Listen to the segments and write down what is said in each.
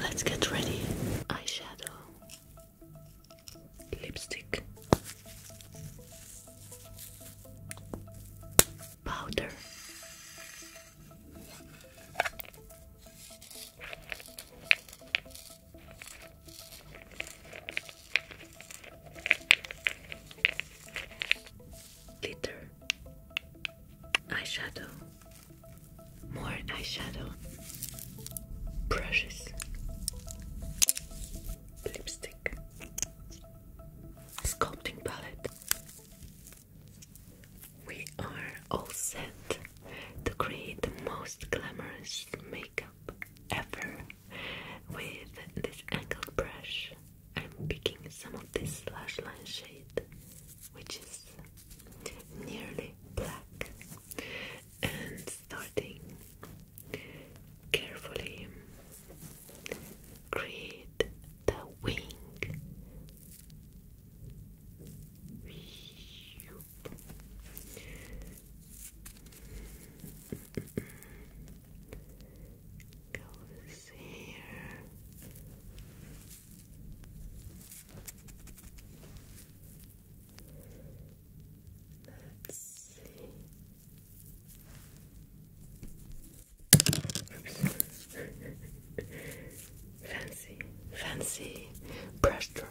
Let's get ready. Eyeshadow, lipstick, powder, glitter, eyeshadow. More eyeshadow brushes, lipstick, sculpting palette. We are all set to create the most glamorous makeup ever with this angled brush. I'm picking some of this lash line shade which is nearly black, and starting carefully create the wing. Goes here Let's see. fancy, fancy brush drop.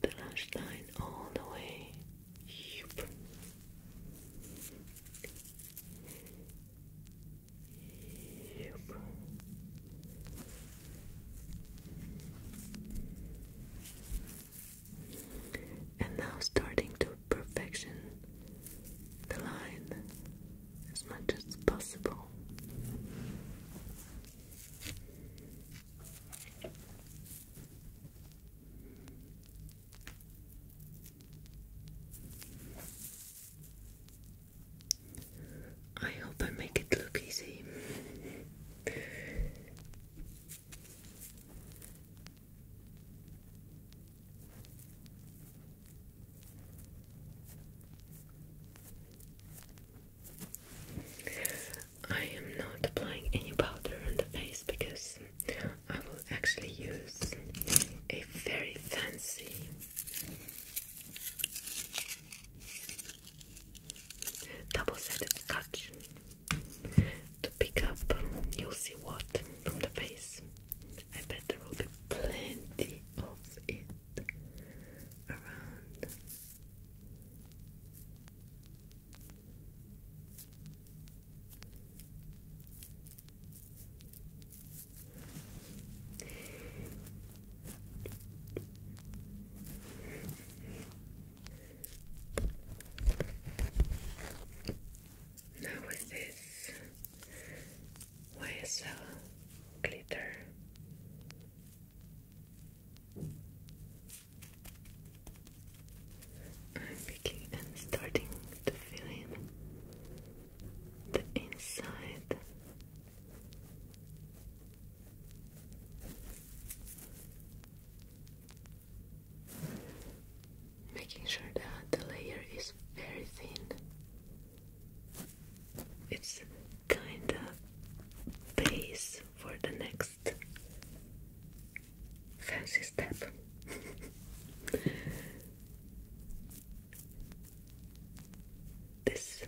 The lash line all the way. Yep. Yep. And now starting to perfection the line as much as possible. I hope I make it look easy. I am not applying any powder on the face because I will actually use a very fancy Double-sided scotch to pick up. You'll see what from the face. I bet there will be plenty of it around. Now with this YSL glitter. I'm picking and starting to fill in the inside Making sure that the layer is very thin. It's kind of base for the next fancy step. This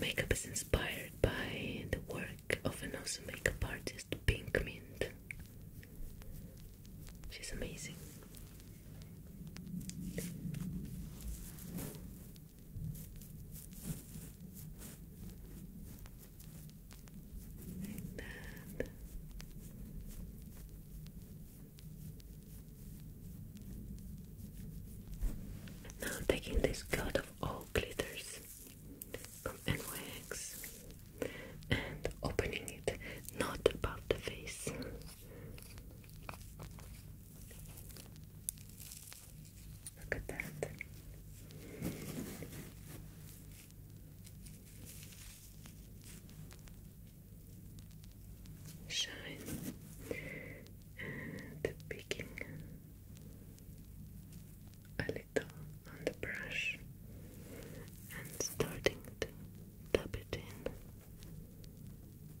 makeup is inspired by the work of an awesome makeup artist, Pink Mint. She's amazing. Now I'm taking this coat of all glitters from NYX and opening it not above the face. Look at that. Shine and picking a little on the brush and starting to tap it in. Like that.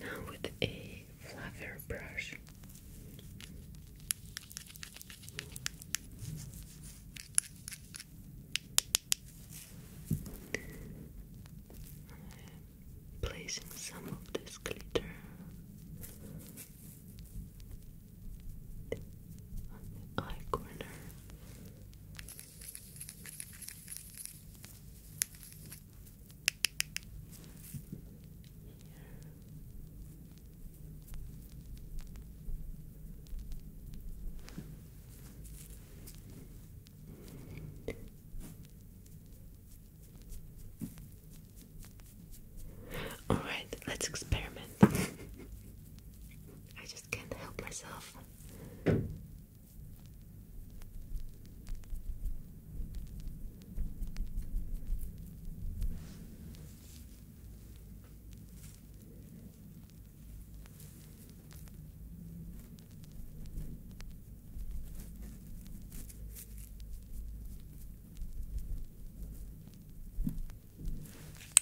Now with a fluffer brush. I'm placing some of this glitter on the eye corner all right, let's experiment. I just can't help myself.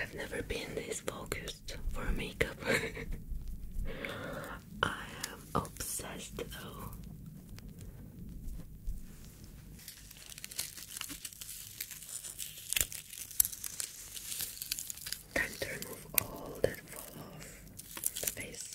I've never been this focused for makeup. I am obsessed though. Time to remove all that fall off the face.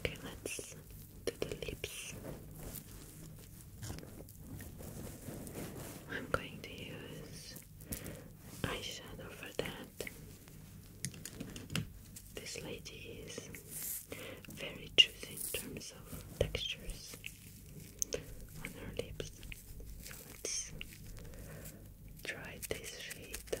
Okay, let's do the lips. I'm going to use eyeshadow for that. This lady is very choosy in terms of textures on her lips. So let's try this shade.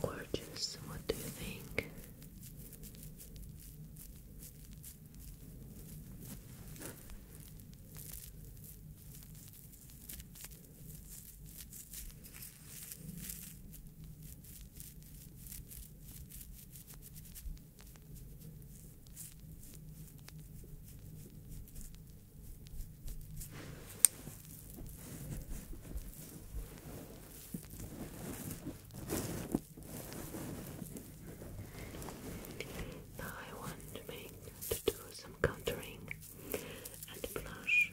Gorgeous, what do you think? Now I want me to do some contouring and blush.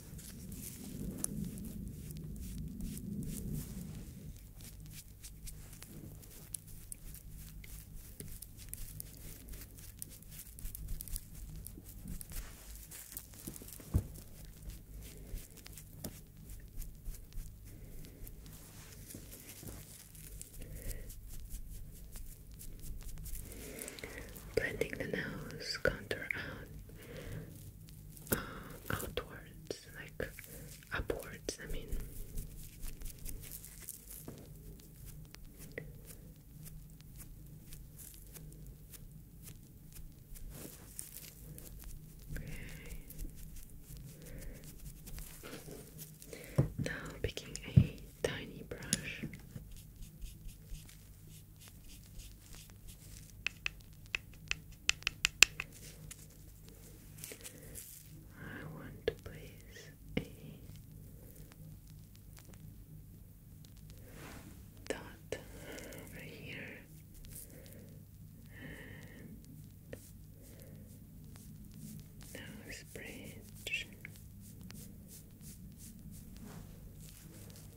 Blending the nose contour out outwards, like upwards, I mean. Now picking a tiny brush. I want to place a dot over here and nose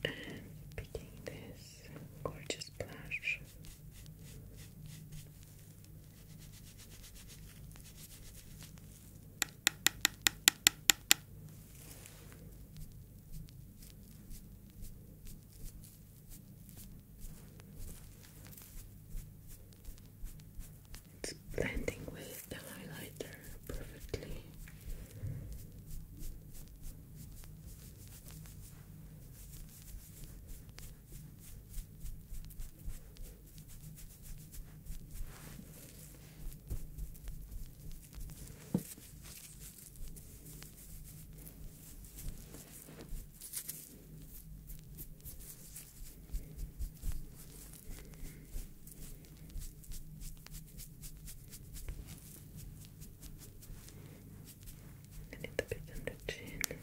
And picking this gorgeous blush. It's blending with the highlighter perfectly. A little bit on the chin. Good.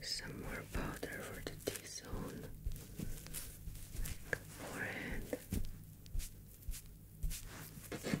Just some more powder for the T zone, forehead, Chin.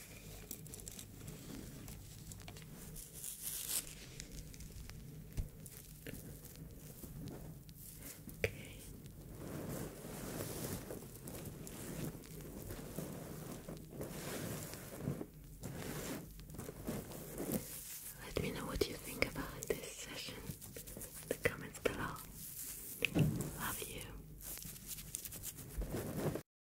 Okay. Let me know what you think about this session in the comments below. Love you.